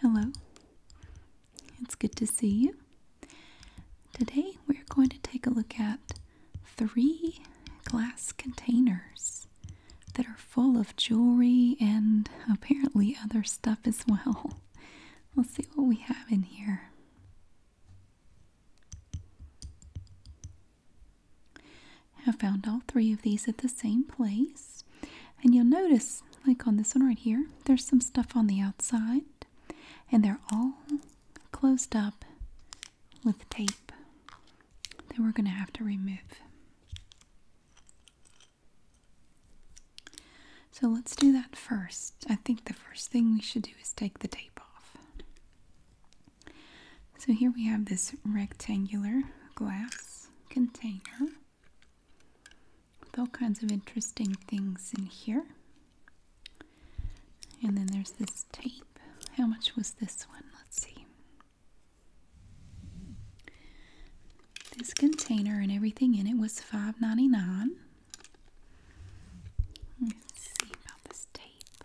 Hello, it's good to see you. Today we're going to take a look at three glass containers that are full of jewelry and apparently other stuff as well. We'll see what we have in here. I found all three of these at the same place. And you'll notice, like on this one right here, there's some stuff on the outside. And they're all closed up with tape that we're going to have to remove. So let's do that first. I think the first thing we should do is take the tape off. So here we have this rectangular glass container with all kinds of interesting things in here. And then there's this tape. How much was this one? Let's see. This container and everything in it was $5.99. Let's see about this tape.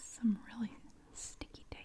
Some really sticky tape.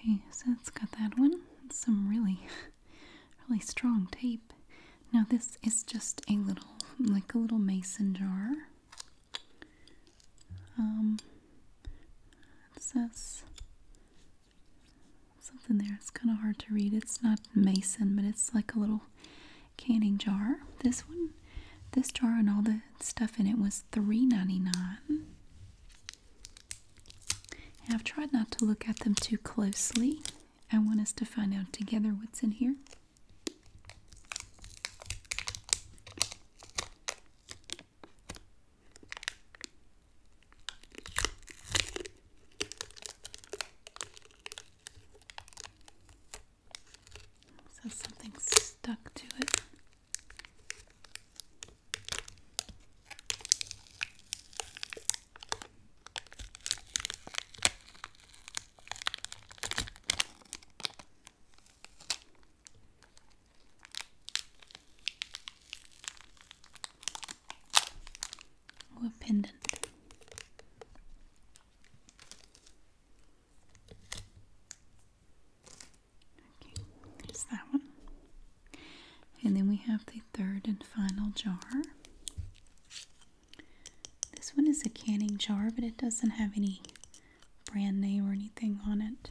Okay, so it has got that one. Some really really strong tape. Now this is just a little, like a little mason jar. Um, says something there. It's kind of hard to read. It's not mason, but it's like a little canning jar. This one, this jar and all the stuff in it was $3.99. I've tried not to look at them too closely. I want us to find out together what's in here. So something stuck to it. Oh, a pendant. Okay, that one. And then we have the third and final jar. This one is a canning jar, but it doesn't have any brand name or anything on it.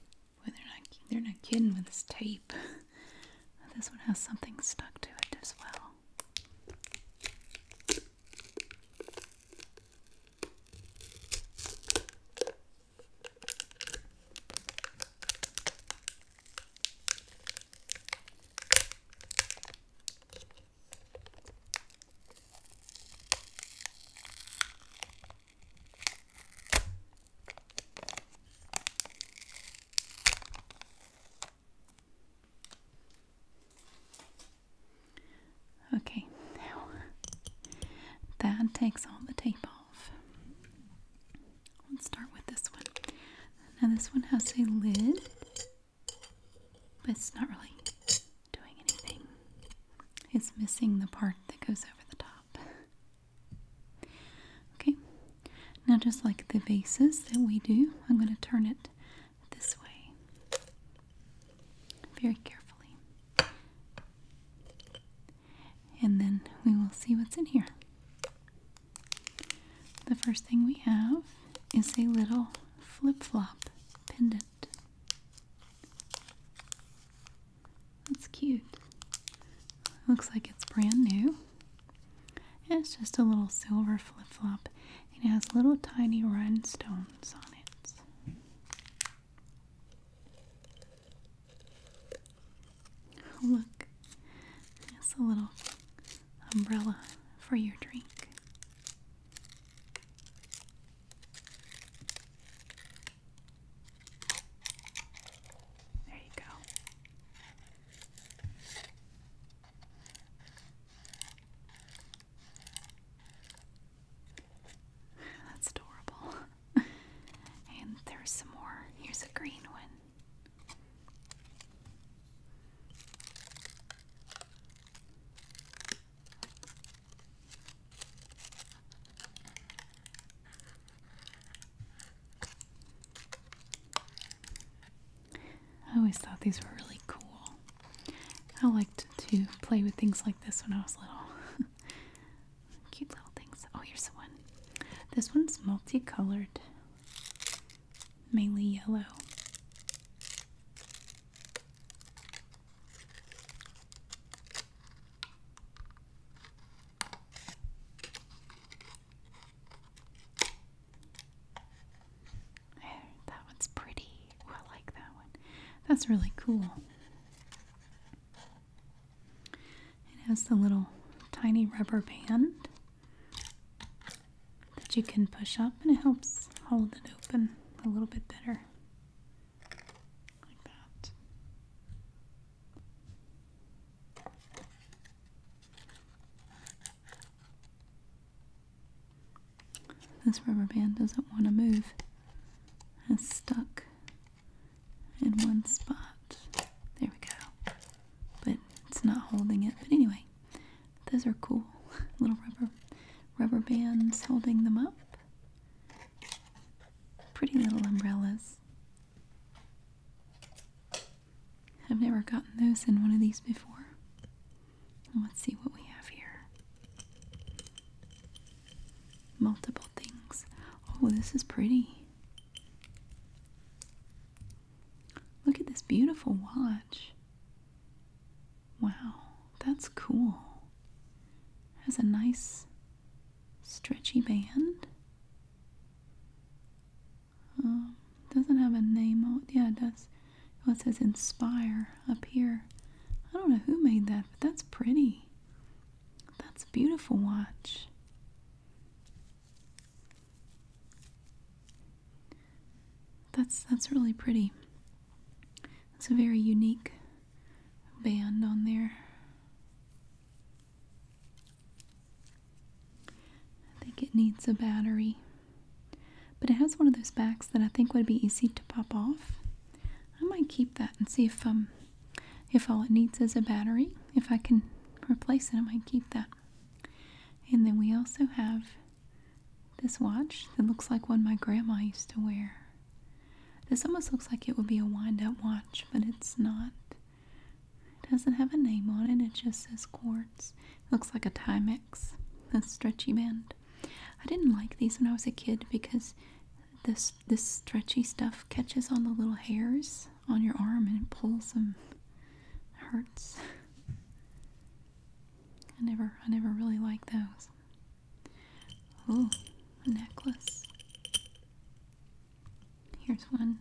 Boy, they're not they're not kidding with this tape. This one has something stuck to it as well. Okay, now that takes all the tape off. Let's start with this one. Now, this one has a lid but it's not really doing anything. It's missing the part that goes over the top. Okay, now just like the vases that we do, I'm going to turn it this way very carefully. And then we will see what's in here. The first thing we have is a little flip flop pendant. That's cute. Looks like it's brand new. it's just a little silver flip flop. It has little tiny rhinestones on it. Look, it's a little umbrella for your drink. There you go. That's adorable. and there's some more. Here's a green one. I always thought these were really cool. I liked to play with things like this when I was little. Cute little things. Oh, here's one. This one's multicolored mainly yellow. There, that one's pretty. I like that one. That's really cool. It has the little tiny rubber band that you can push up and it helps hold it open a little bit better. Like that. This rubber band doesn't want to move. It's stuck in one spot. There we go. But it's not holding it. But anyway, those are cool. Little rubber rubber bands holding them up. Pretty little umbrellas. I've never gotten those in one of these before. Let's see what we have here. Multiple things. Oh, this is pretty. Look at this beautiful watch. Wow, that's cool. Has a nice stretchy band. Um, doesn't have a name. Oh, yeah, it does. it says Inspire up here. I don't know who made that, but that's pretty. That's a beautiful watch. That's that's really pretty. It's a very unique band on there. I think it needs a battery. But it has one of those backs that I think would be easy to pop off. I might keep that and see if um if all it needs is a battery. If I can replace it, I might keep that. And then we also have this watch that looks like one my grandma used to wear. This almost looks like it would be a wind up watch, but it's not. It doesn't have a name on it, it just says quartz. It looks like a Timex, a stretchy band. I didn't like these when I was a kid because this, this stretchy stuff catches on the little hairs on your arm and it pulls them. hurts. I never I never really like those. Oh, necklace. Here's one.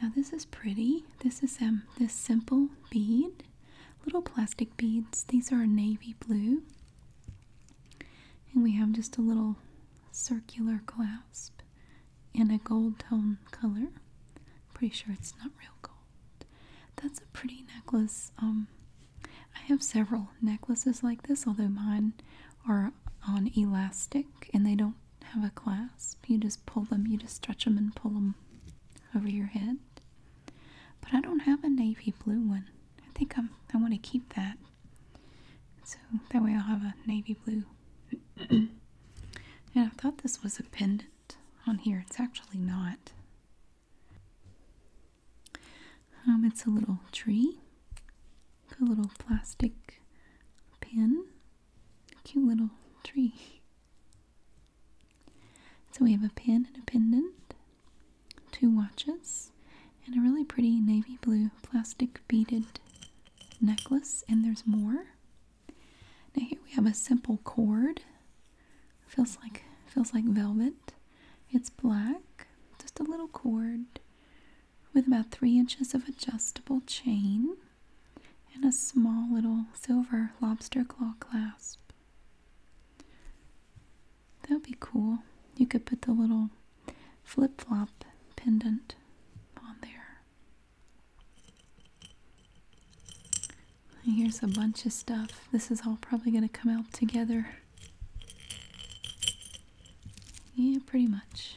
Now this is pretty. This is um, this simple bead. Little plastic beads. These are navy blue. And we have just a little circular clasp in a gold tone color. Pretty sure it's not real gold. That's a pretty necklace. Um, I have several necklaces like this, although mine are on elastic and they don't have a clasp. You just pull them, you just stretch them and pull them over your head. But I don't have a navy blue one. I think i I want to keep that. So that way I'll have a navy blue. and I thought this was a pendant on here. It's actually not. Um, it's a little tree, a little plastic pin, cute little tree. So we have a pin and a pendant, two watches, and a really pretty navy blue plastic beaded necklace. And there's more. Now here we have a simple cord. Feels like feels like velvet. It's black, just a little cord with about three inches of adjustable chain and a small little silver lobster claw clasp. That would be cool. You could put the little flip flop pendant on there. Here's a bunch of stuff. This is all probably going to come out together. Yeah, pretty much.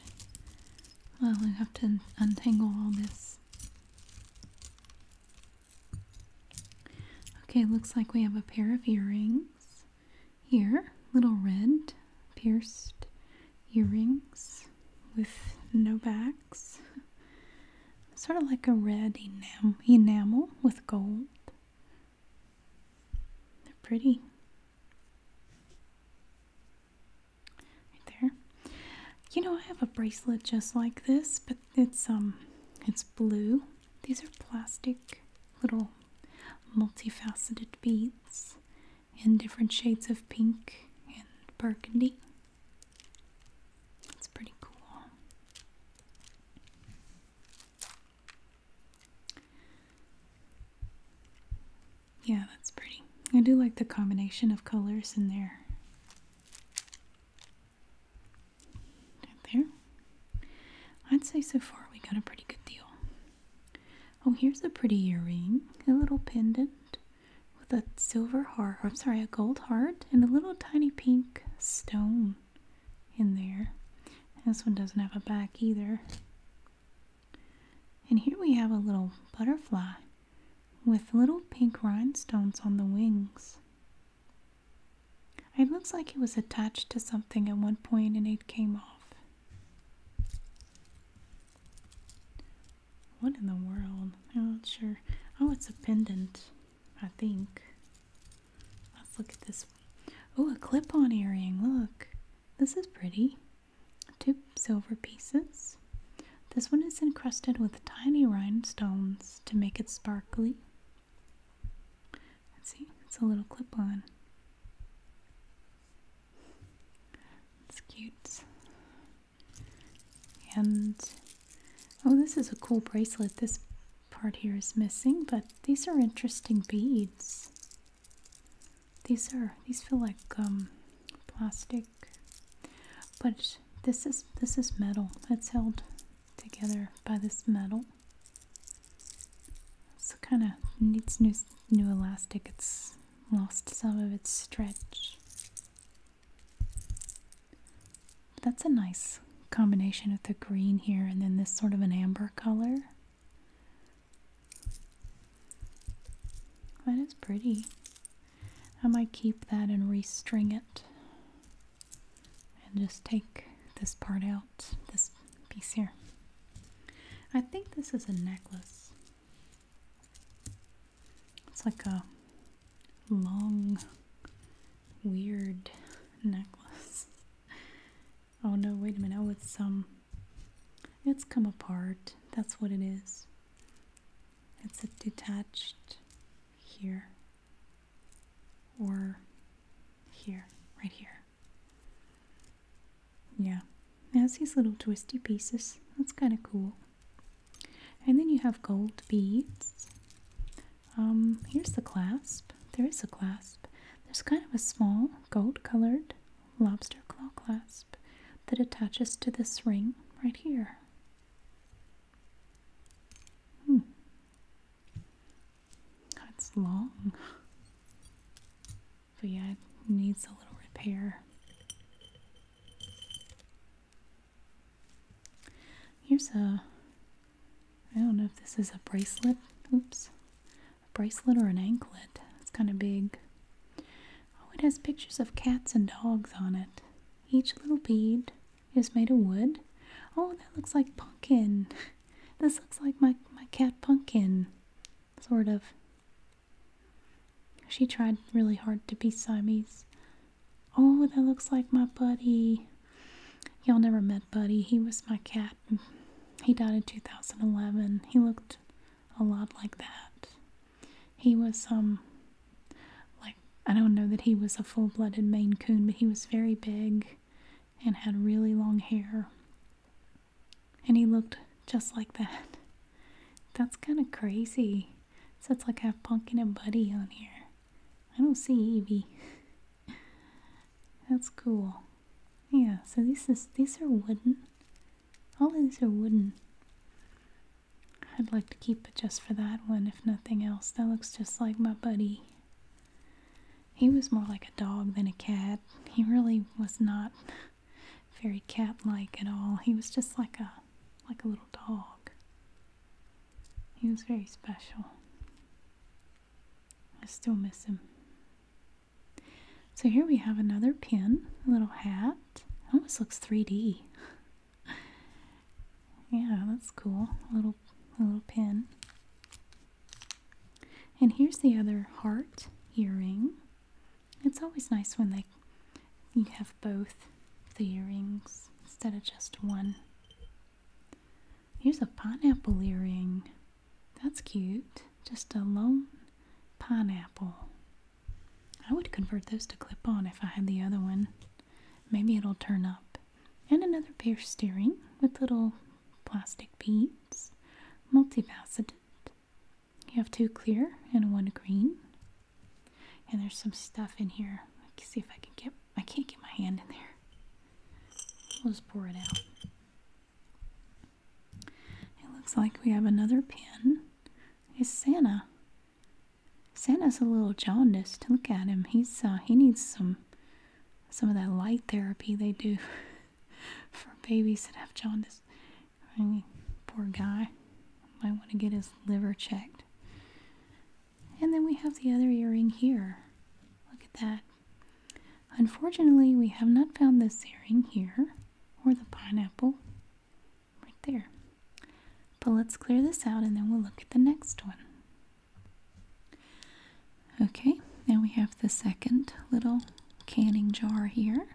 Well, I have to untangle all this. Okay, looks like we have a pair of earrings here. Little red pierced earrings with no back. Sort of like a red enamel with gold. They're pretty. Right there. You know, I have a bracelet just like this, but it's um it's blue. These are plastic little multifaceted beads in different shades of pink and burgundy. That's pretty cool. Yeah, that's pretty. I do like the combination of colors in there. there. I'd say so far we got a pretty good deal. Oh, here's a pretty earring, a little pendant with a silver heart, I'm sorry, a gold heart, and a little tiny pink stone in there. this one doesn't have a back either. And here we have a little butterfly with little pink rhinestones on the wings. It looks like it was attached to something at one point and it came off. What in the world? I'm not sure. Oh, it's a pendant. I think. Let's look at this one. Oh, a clip-on earring. Look. This is pretty. Two silver pieces. This one is encrusted with tiny rhinestones to make it sparkly. Let's see. It's a little clip-on. It's cute. And oh, this is a cool bracelet. This part here is missing, but these are interesting beads. These are these feel like um, plastic, but this is this is metal. It's held together by this metal. So kind of needs new new elastic. It's lost some of its stretch. That's a nice combination of the green here and then this sort of an amber color. That is pretty. I might keep that and restring it and just take this part out, this piece here. I think this is a necklace. It's like a long, weird necklace. Oh no, wait a minute. Oh, it's um it's come apart. That's what it is. It's detached here or here, right here. Yeah. It has these little twisty pieces. That's kind of cool. And then you have gold beads. Um, here's the clasp. There is a clasp. There's kind of a small gold colored lobster claw clasp that attaches to this ring right here. Hmm. That's long. But yeah, it needs a little repair. Here's a, I don't know if this is a bracelet, oops, a bracelet or an anklet. It's kind of big. Oh, it has pictures of cats and dogs on it. Each little bead is made of wood. Oh, that looks like pumpkin. This looks like my, my cat pumpkin, sort of. She tried really hard to be Siamese. Oh, that looks like my buddy. Y'all never met Buddy. He was my cat. He died in 2011. He looked a lot like that. He was, um, like, I don't know that he was a full blooded Maine Coon, but he was very big and had really long hair. And he looked just like that. That's kind of crazy. So it's like I have Punkin and Buddy on here. I don't see Evie. That's cool. Yeah, so these is these are wooden. All these are wooden. I'd like to keep it just for that one, if nothing else. That looks just like my buddy. He was more like a dog than a cat. He really was not very cat-like at all. He was just like a like a little dog. He was very special. I still miss him. So here we have another pin, a little hat. almost looks 3D. yeah, that's cool. A little, little pin. And here's the other heart earring. It's always nice when like you have both the earrings instead of just one. Here's a pineapple earring. That's cute. Just a lone pineapple. I would convert those to clip on if I had the other one. Maybe it'll turn up. And another pierced earring with little plastic beads. Multifaceted. You have two clear and one green. And there's some stuff in here. Let's see if I can get I can't get my hand in there. i will just pour it out. It looks like we have another pin. Is Santa. Santa's a little jaundiced. To Look at him. He's uh, he needs some some of that light therapy they do for babies that have jaundice. I mean, poor guy might want to get his liver checked. And then we have the other earring here. Look at that. Unfortunately, we have not found this earring here or the pineapple right there. But let's clear this out and then we'll look at the next one. Okay, now we have the second little canning jar here.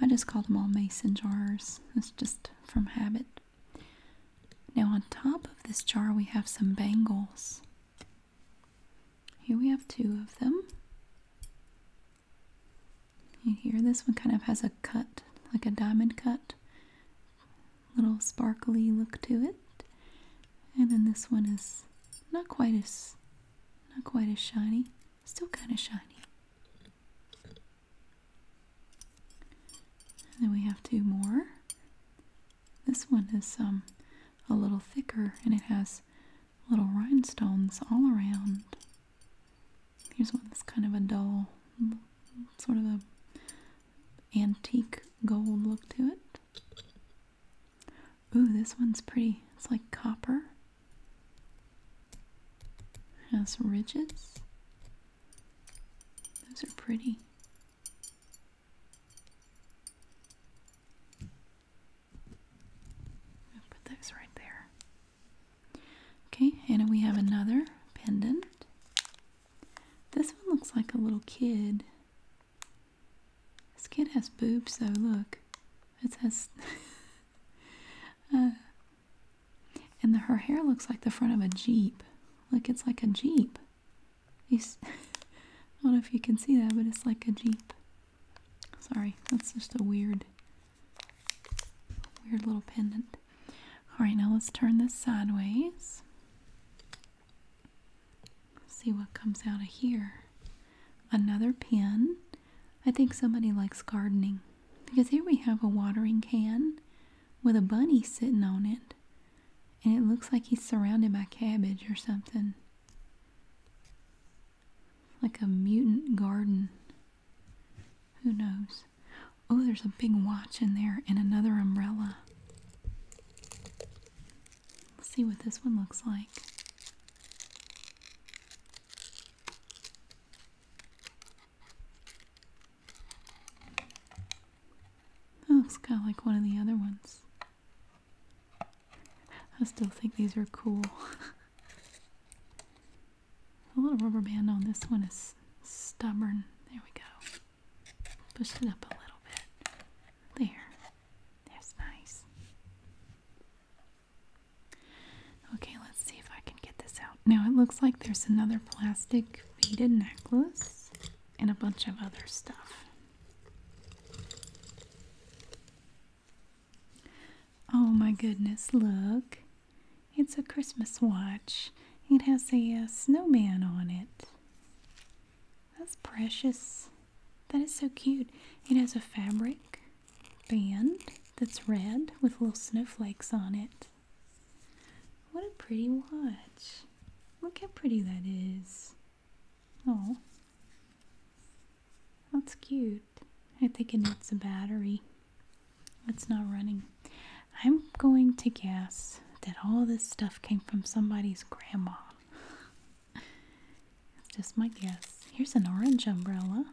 I just call them all mason jars. It's just from habit. Now, on top of this jar, we have some bangles. Here we have two of them. You hear this one kind of has a cut, like a diamond cut, little sparkly look to it. And then this one is not quite as not quite as shiny, still kind of shiny then we have two more. This one is um, a little thicker and it has little rhinestones all around. Here's one that's kind of a dull, sort of a antique gold look to it. Ooh, this one's pretty. It's like copper. Has ridges. Those are pretty put those right there. Okay, and we have another pendant. This one looks like a little kid. This kid has boobs though, look. It has. Uh, and her hair looks like the front of a Jeep. Like it's like a Jeep. I don't know if you can see that, but it's like a Jeep. Sorry, that's just a weird, weird little pendant. Alright, now let's turn this sideways. See what comes out of here. Another pin. I think somebody likes gardening. Because here we have a watering can with a bunny sitting on it. And it looks like he's surrounded by cabbage or something. Like a mutant garden. Who knows? Oh, there's a big watch in there and another umbrella. Let's see what this one looks like. Oh, that looks kind of like one of the other ones. I still think these are cool. A little rubber band on this one is stubborn. There we go. Push it up a little bit. There. That's nice. Okay, let's see if I can get this out. Now it looks like there's another plastic beaded necklace and a bunch of other stuff. Oh my goodness, look. It's a Christmas watch. It has a uh, snowman on it. That's precious. That is so cute. It has a fabric band that's red with little snowflakes on it. What a pretty watch. Look how pretty that is. Oh. That's cute. I think it needs a battery. It's not running. I'm going to guess that all this stuff came from somebody's grandma. it's just my guess. Here's an orange umbrella.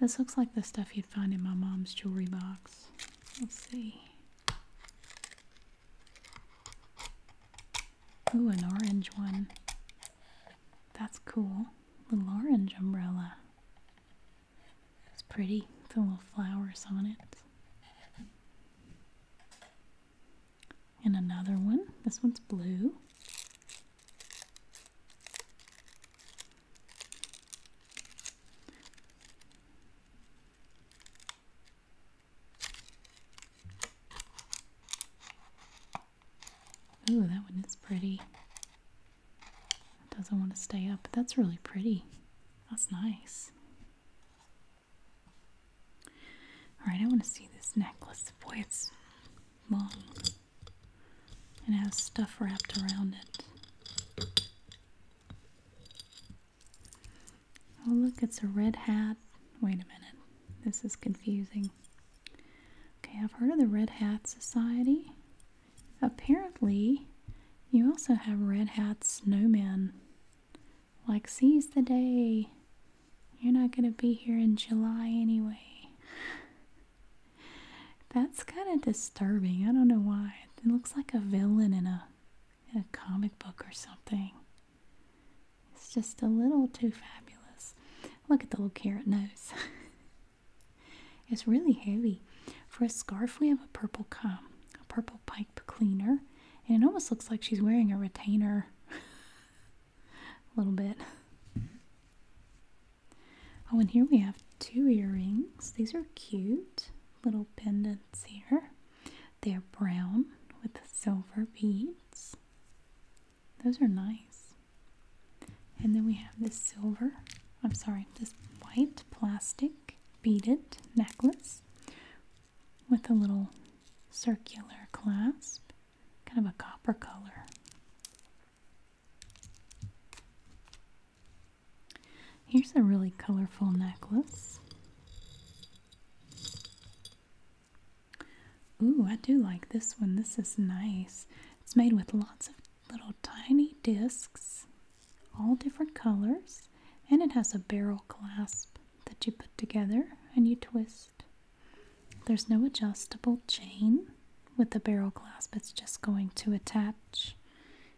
This looks like the stuff you'd find in my mom's jewelry box. Let's see. Ooh, an orange one. That's cool. Little orange umbrella. It's pretty. Some little flowers on it. And another one. This one's blue. Ooh, that one is pretty. doesn't want to stay up, but that's really pretty. That's nice. Alright, I want to see this necklace. Boy, it's long. And it has stuff wrapped around it. Oh, look, it's a red hat. Wait a minute. This is confusing. Okay, I've heard of the Red Hat Society. Apparently, you also have red hats. snowmen. Like, seize the day. You're not going to be here in July anyway. That's kind of disturbing. I don't know why. It looks like a villain in a a comic book or something. It's just a little too fabulous. Look at the little carrot nose. it's really heavy. For a scarf, we have a purple comb, a purple pipe cleaner, and it almost looks like she's wearing a retainer. a little bit. Oh, and here we have two earrings. These are cute little pendants here. They're brown with silver beads. Those are nice. And then we have this silver, I'm sorry, this white plastic beaded necklace with a little circular clasp, kind of a copper color. Here's a really colorful necklace. Ooh, I do like this one. This is nice. It's made with lots of little tiny discs, all different colors, and it has a barrel clasp that you put together and you twist. There's no adjustable chain with the barrel clasp, it's just going to attach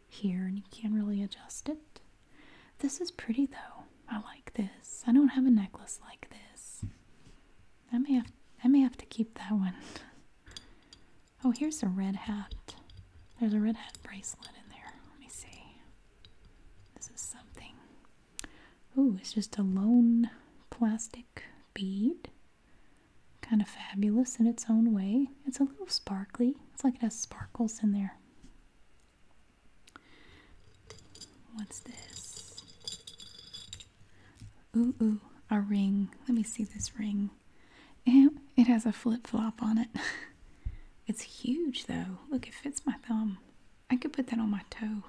here and you can't really adjust it. This is pretty though. I like this. I don't have a necklace like this. I may have I may have to keep that one. Oh, here's a red hat. There's a red hat bracelet in there. Let me see. This is something. Ooh, it's just a lone plastic bead kind of fabulous in its own way. It's a little sparkly, it's like it has sparkles in there. What's this? Ooh, ooh, a ring. Let me see this ring. And it has a flip flop on it. it's huge though. Look, it fits my thumb. I could put that on my toe.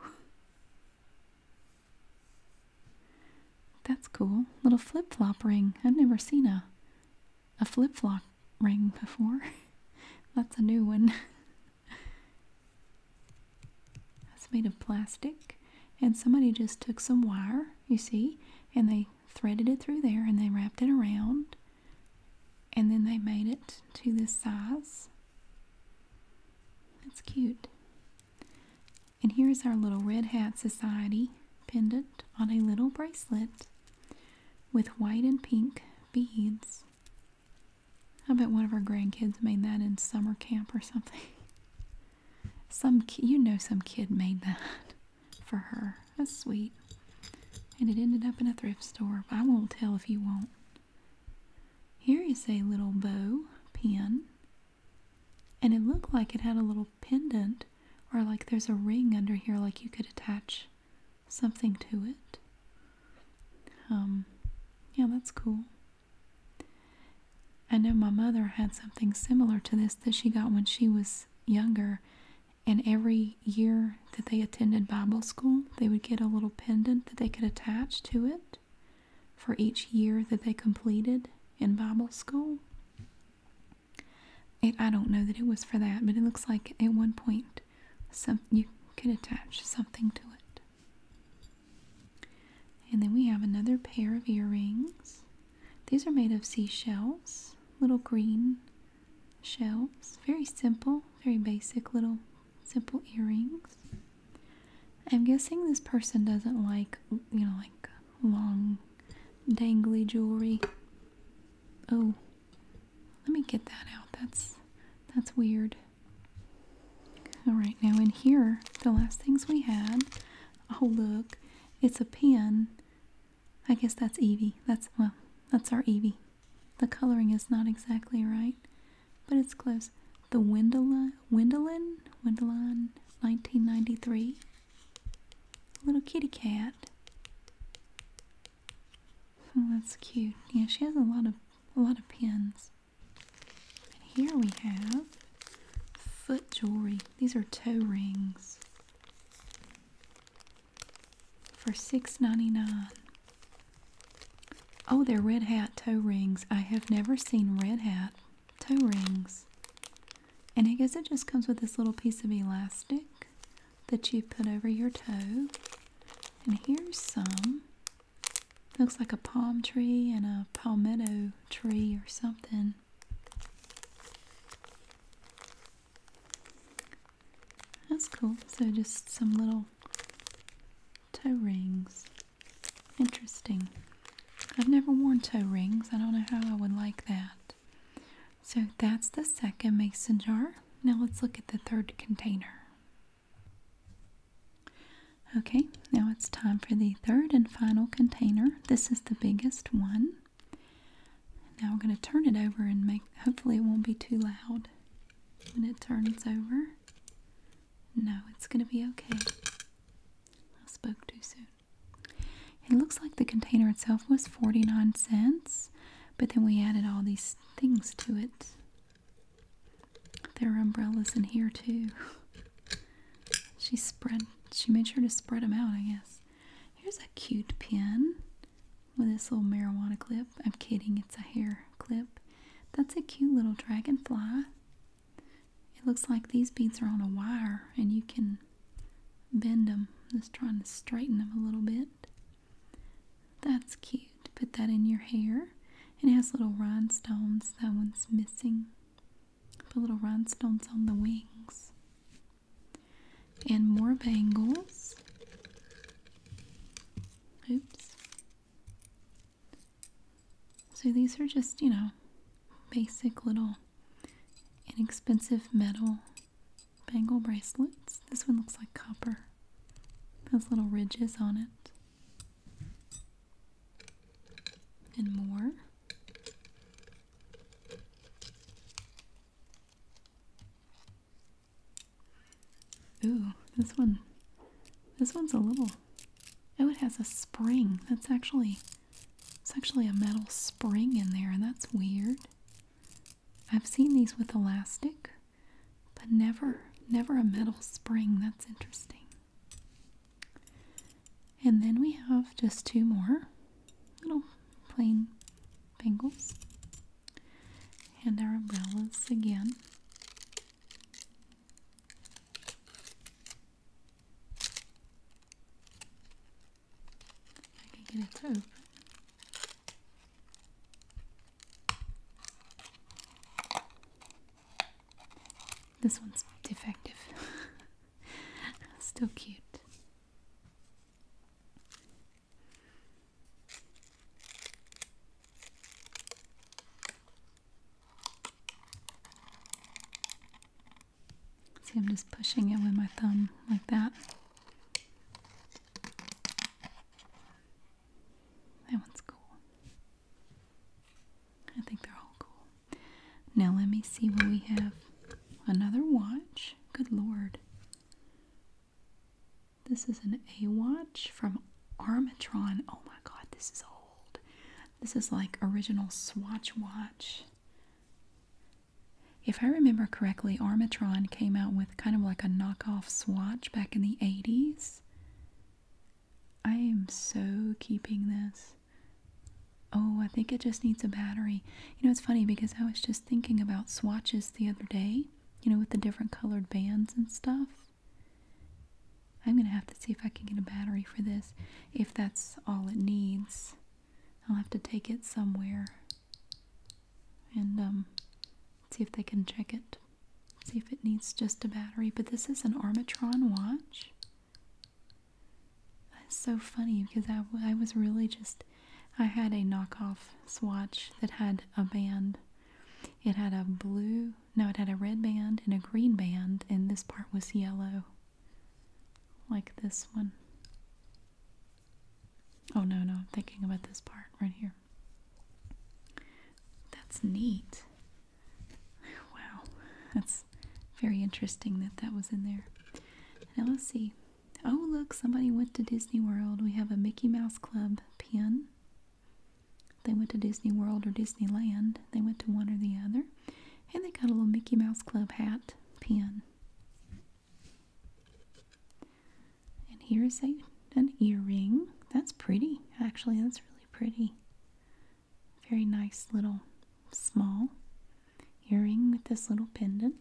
That's cool. Little flip flop ring. I've never seen a a flip flop ring before. That's a new one. That's made of plastic. And somebody just took some wire, you see, and they threaded it through there and they wrapped it around. And then they made it to this size. That's cute. And here's our little Red Hat Society pendant on a little bracelet with white and pink beads. I bet one of our grandkids made that in summer camp or something. Some you know some kid made that for her. That's sweet. And it ended up in a thrift store. I won't tell if you won't. Here is a little bow pin. And it looked like it had a little pendant or like there's a ring under here like you could attach something to it um yeah that's cool i know my mother had something similar to this that she got when she was younger and every year that they attended bible school they would get a little pendant that they could attach to it for each year that they completed in bible school I don't know that it was for that, but it looks like at one point you could attach something to it. And then we have another pair of earrings. These are made of seashells, little green shells. Very simple, very basic little simple earrings. I'm guessing this person doesn't like, you know, like long dangly jewelry. Oh, let me get that out. That's that's weird. All right, now in here, the last things we had. Oh look, it's a pen. I guess that's Evie. That's well, that's our Evie. The coloring is not exactly right, but it's close. The Wendelin, Wendelin, Wendelin, 1993 little kitty cat. Oh, that's cute. Yeah, she has a lot of a lot of pins. And here we have foot jewelry. These are toe rings for $6.99. Oh, they're red hat toe rings. I have never seen red hat toe rings. And I guess it just comes with this little piece of elastic that you put over your toe. And here's some. Looks like a palm tree and a palmetto tree or something. That's cool. So just some little toe rings. Interesting. I've never worn toe rings. I don't know how I would like that. So that's the second mason jar. Now let's look at the third container. Okay, now it's time for the third and final container. This is the biggest one. Now we're going to turn it over and make, hopefully, it won't be too loud when it turns over. No, it's going to be okay. I spoke too soon. It looks like the container itself was 49 cents, but then we added all these things to it. There are umbrellas in here too. She spread she made sure to spread them out, I guess. Here's a cute pin with this little marijuana clip. I'm kidding, it's a hair clip. That's a cute little dragonfly. It looks like these beads are on a wire and you can bend them. Just trying to straighten them a little bit. That's cute. Put that in your hair. It has little rhinestones. That one's missing. Put little rhinestones on the wings. And more bangles. Oops. So these are just, you know, basic little inexpensive metal bangle bracelets. This one looks like copper. Has little ridges on it. And more. Ooh, this one. This one's a little. Oh, it has a spring. That's actually. It's actually a metal spring in there, and that's weird. I've seen these with elastic, but never, never a metal spring. That's interesting. And then we have just two more little plain bangles and our umbrellas again. I can get it through. This one's defective. Still cute. See, I'm just pushing it with my thumb like that. That one's cool. I think they're all cool. Now let me see what we have. Another watch. Good lord. This is an A watch from Armatron. Oh my god, this is old. This is like original Swatch watch. If I remember correctly, Armatron came out with kind of like a knockoff swatch back in the 80s. I am so keeping this. Oh, I think it just needs a battery. You know, it's funny because I was just thinking about swatches the other day, you know, with the different colored bands and stuff. I'm going to have to see if I can get a battery for this, if that's all it needs. I'll have to take it somewhere and um, see if they can check it. See if it needs just a battery. But this is an Armatron watch. That's so funny because I, I was really just. I had a knockoff swatch that had a band. It had a blue, no, it had a red band and a green band, and this part was yellow, like this one. Oh no, no, I'm thinking about this part right here. That's neat. Wow, that's very interesting that that was in there. Now let's see. Oh, look, somebody went to Disney World. We have a Mickey Mouse Club pin. They went to Disney World or Disneyland. They went to one or the other. And they got a little Mickey Mouse Club hat pin. And here's a, an earring. That's pretty, actually. That's really pretty. Very nice little small earring with this little pendant.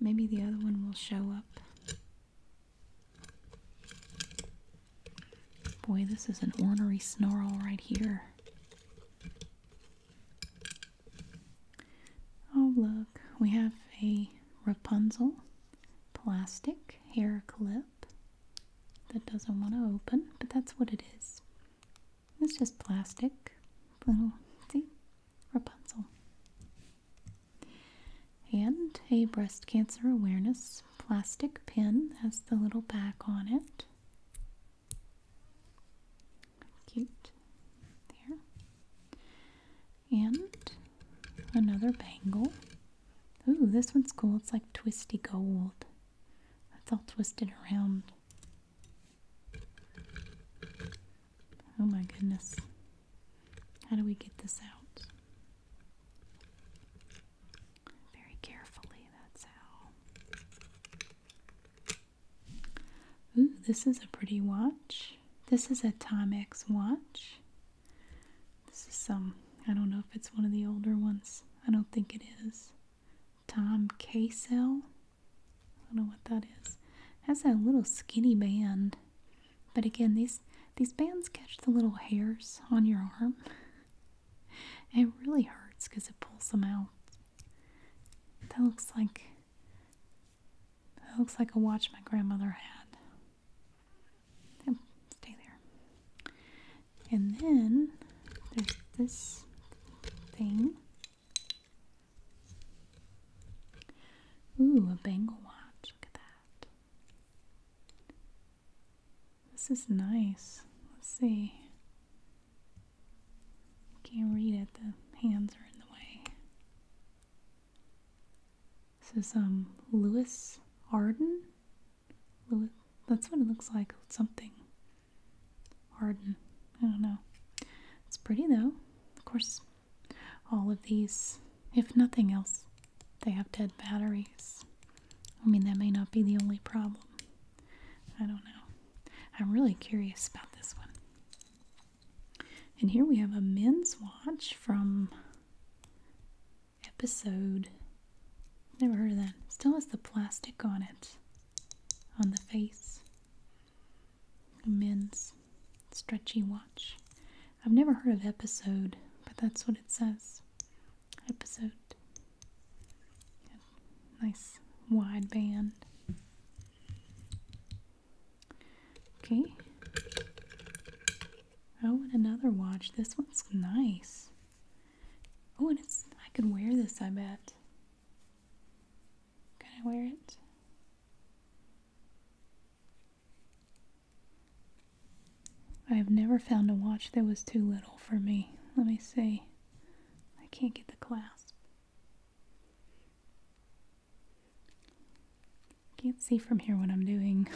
Maybe the other one will show up. Boy, this is an ornery snarl right here. Oh, look, we have a Rapunzel plastic hair clip that doesn't want to open, but that's what it is. It's just plastic. Little, see? Rapunzel. And a breast cancer awareness plastic pin has the little back on it. Cute. There. And another bangle. Ooh, this one's cool. It's like twisty gold. That's all twisted around. Oh my goodness. How do we get this out? Very carefully, that's how. Ooh, this is a pretty watch. This is a Timex watch. This is some, I don't know if it's one of the older ones. I don't think it is. Tom Casell. I don't know what that is. It has that little skinny band. But again, these these bands catch the little hairs on your arm. it really hurts because it pulls them out. That looks like that looks like a watch my grandmother had. Yep, stay there. And then there's this thing. Ooh, a bangle watch. Look at that. This is nice. Let's see. Can't read it, the hands are in the way. This is um Lewis Arden. Lewis, that's what it looks like. Something Arden. I don't know. It's pretty though. Of course, all of these, if nothing else, they have dead batteries. I mean, that may not be the only problem. I don't know. I'm really curious about this one. And here we have a men's watch from episode. Never heard of that. Still has the plastic on it, on the face. A men's stretchy watch. I've never heard of episode, but that's what it says. Episode. Nice wide band. Okay. Oh, and another watch. This one's nice. Oh, and it's I could wear this, I bet. Can I wear it? I have never found a watch that was too little for me. Let me see. I can't get the clasp. Can't see from here what I'm doing.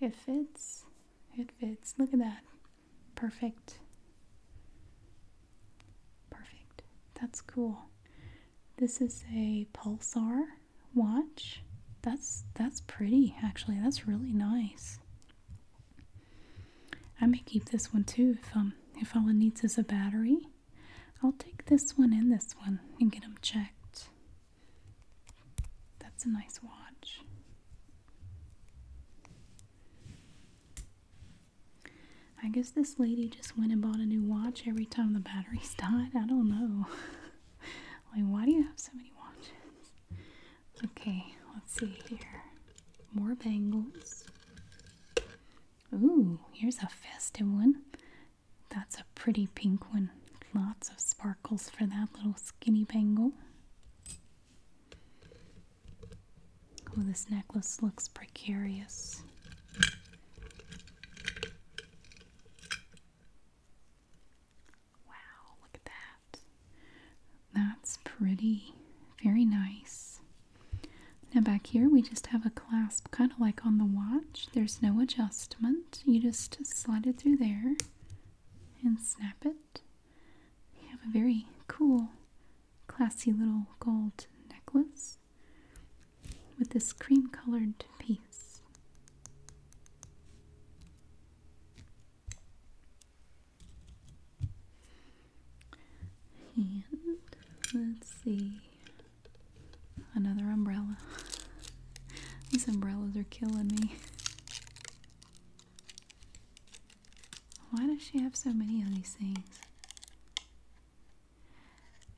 it fits. It fits. Look at that. Perfect. Perfect. That's cool. This is a pulsar watch. That's that's pretty actually. That's really nice. I may keep this one too if um if all it needs is a battery. I'll take this one and this one and get them checked. That's a nice watch. I guess this lady just went and bought a new watch every time the batteries died. I don't know. like, why do you have so many watches? Okay, let's see here. More bangles. Ooh, here's a festive one. That's a pretty pink one. Lots of sparkles for that little skinny bangle. Oh, this necklace looks precarious. Wow, look at that. That's pretty. Very nice. Now back here we just have a clasp kind of like on the watch. There's no adjustment. You just slide it through there and snap it. You have a very cool, classy little gold necklace with this cream colored piece. And let's see. Another umbrella. These umbrellas are killing me. Why does she have so many of these things?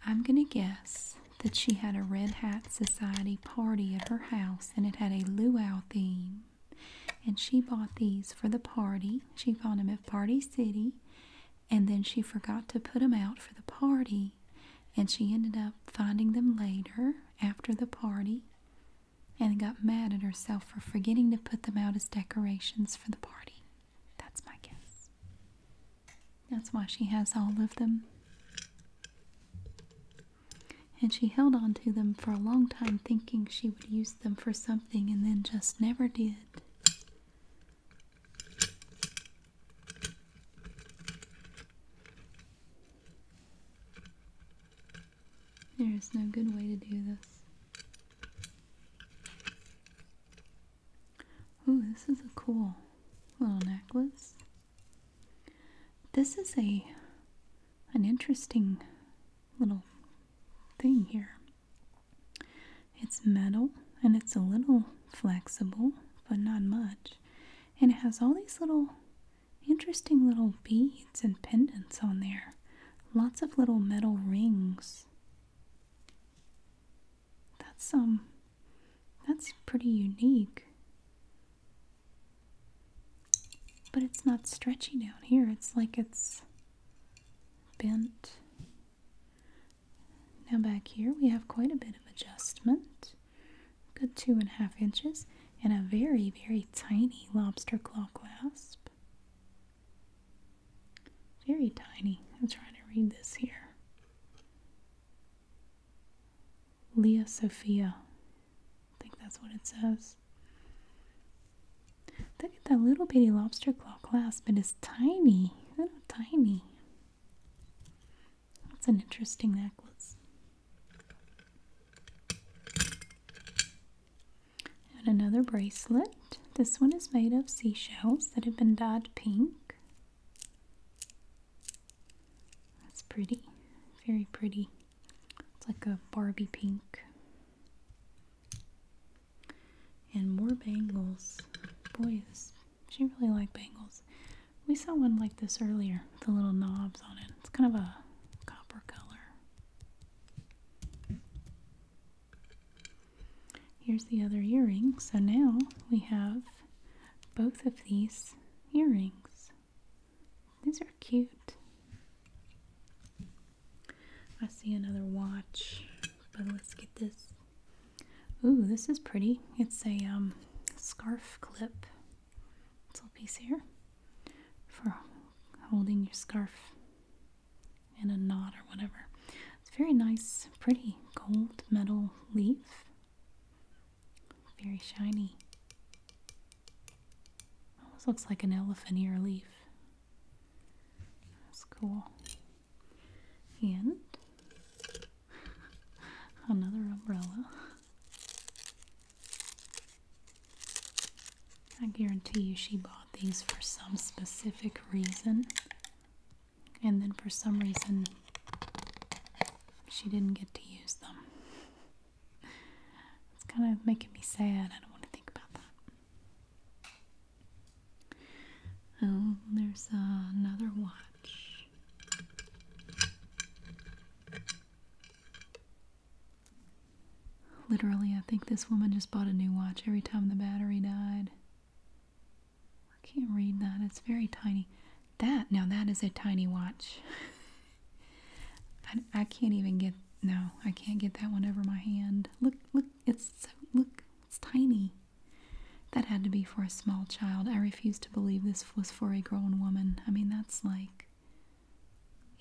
I'm going to guess that she had a Red Hat Society party at her house and it had a luau theme. And she bought these for the party. She found them at Party City and then she forgot to put them out for the party and she ended up finding them later after the party and got mad at herself for forgetting to put them out as decorations for the party. That's my guess. That's why she has all of them. And she held on to them for a long time, thinking she would use them for something, and then just never did. There is no good way to do this. Ooh, this is a cool little necklace. This is a an interesting little thing here. It's metal and it's a little flexible, but not much. And it has all these little interesting little beads and pendants on there. Lots of little metal rings. That's um that's pretty unique. But it's not stretchy down here. It's like it's bent. Now back here we have quite a bit of adjustment, good two and a half inches, and a very, very tiny lobster claw clasp. Very tiny. I'm trying to read this here. Leah Sophia. I think that's what it says. Look at that little bitty lobster claw clasp, it is tiny, little tiny. That's an interesting necklace. And another bracelet. This one is made of seashells that have been dyed pink. That's pretty, very pretty. It's like a Barbie pink. And more bangles. boys. she really liked bangles. We saw one like this earlier, the little knobs on it. It's kind of a copper color. Here's the other earring. So now we have both of these earrings. These are cute. I see another watch, but let's get this. Ooh, this is pretty. It's a um, scarf clip. This little piece here for holding your scarf in a knot or whatever. It's very nice, pretty gold metal leaf. Very shiny. Almost looks like an elephant ear leaf. That's cool and another umbrella. I guarantee you she bought these for some specific reason, and then for some reason she didn't get to use them. It's kind of making me sad. I don't want to think about that. Oh, there's another watch. Literally, I think this woman just bought a new watch every time the battery died. I can't read that. It's very tiny. That, now that is a tiny watch. I, I can't even get, no, I can't get that one over my hand. Look, look, it's look, it's tiny. That had to be for a small child. I refuse to believe this was for a grown woman. I mean, that's like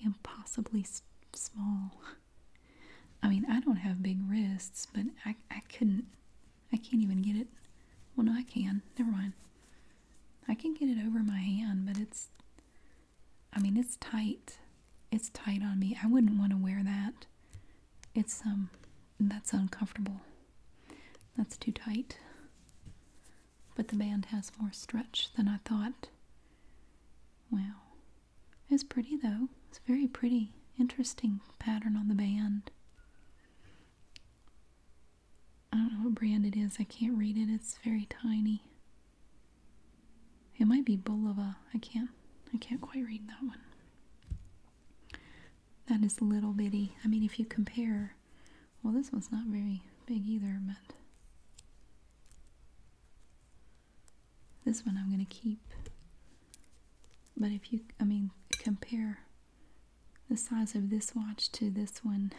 impossibly small. I mean, I don't have big wrists, but I, I couldn't. I can't even get it. Well, no, I can. Never mind. I can get it over my hand, but it's. I mean, it's tight. It's tight on me. I wouldn't want to wear that it's, um, that's uncomfortable. That's too tight. But the band has more stretch than I thought. Wow. It's pretty though. It's very pretty. Interesting pattern on the band. I don't know what brand it is. I can't read it. It's very tiny. It might be Bulova. I can't I can't quite read that one. That is little bitty. I mean, if you compare, well, this one's not very big either, but this one I'm going to keep. But if you, I mean, compare the size of this watch to this one,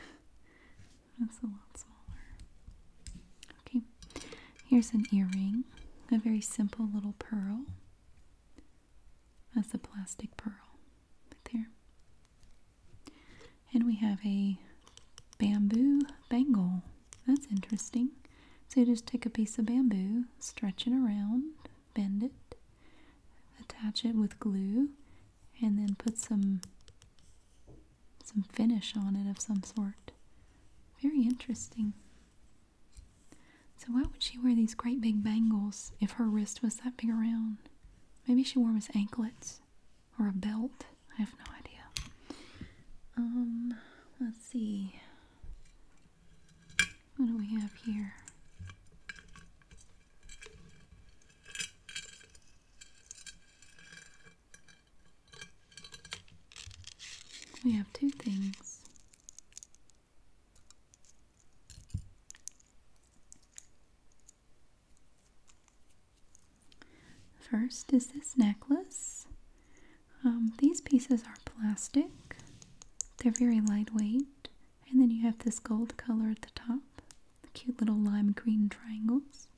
that's a lot smaller. Okay, here's an earring, a very simple little pearl. That's a plastic pearl right there. And we have a bamboo bangle. That's interesting. So you just take a piece of bamboo, stretch it around, bend it, attach it with glue, and then put some some finish on it of some sort. Very interesting. So why would she wear these great big bangles if her wrist was that big around? Maybe she wore them as anklets or a belt. I have no idea. Um, let's see. What do we have here? We have two things. First is this necklace. Um, these pieces are plastic, they're very lightweight, and then you have this gold color at the top, cute little lime green triangles,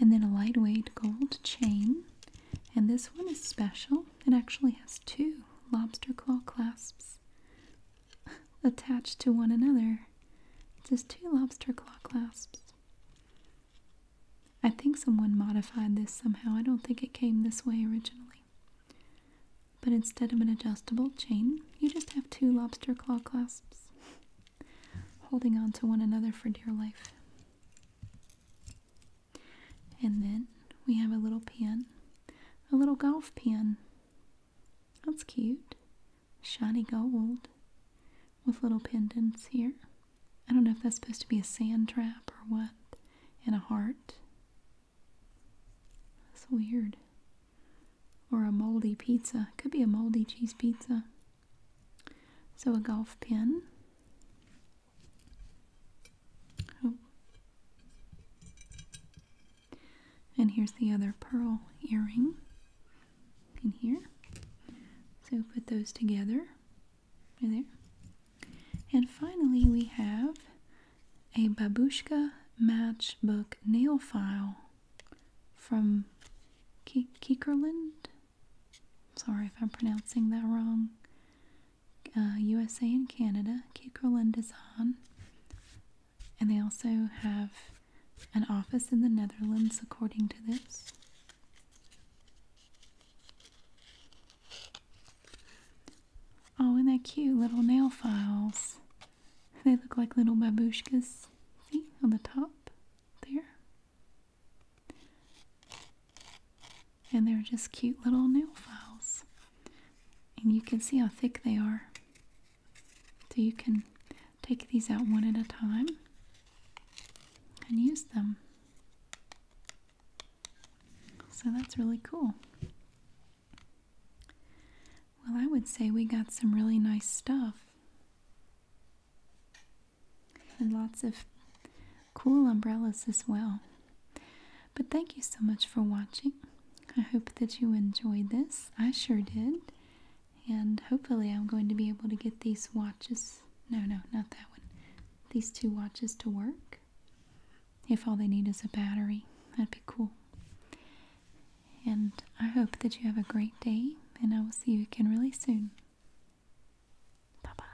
and then a lightweight gold chain. And this one is special it actually has two lobster claw clasps attached to one another. Just two lobster claw clasps. I think someone modified this somehow. I don't think it came this way originally. But instead of an adjustable chain, you just have two lobster claw clasps holding on to one another for dear life. And then we have a little pin, a little golf pin. That's cute. Shiny gold with little pendants here. I don't know if that's supposed to be a sand trap or what, and a heart. That's weird. Or a moldy pizza. Could be a moldy cheese pizza. So a golf pin. Oh. And here's the other pearl earring in here. So put those together. Right there. And finally we have a babushka matchbook nail file from K Kiekerland. Sorry if I'm pronouncing that wrong. USA uh, and Canada, Kate Kroland is on. And they also have an office in the Netherlands, according to this. Oh, and they're cute little nail files. They look like little babushkas. See, on the top there and they're just cute little nail files. And you can see how thick they are. So you can take these out one at a time and use them. So that's really cool. Well, I would say we got some really nice stuff. And lots of cool umbrellas as well. But thank you so much for watching. I hope that you enjoyed this. I sure did. And hopefully, I'm going to be able to get these watches no, no, not that one these two watches to work. If all they need is a battery, that'd be cool. And I hope that you have a great day, and I will see you again really soon. Bye bye.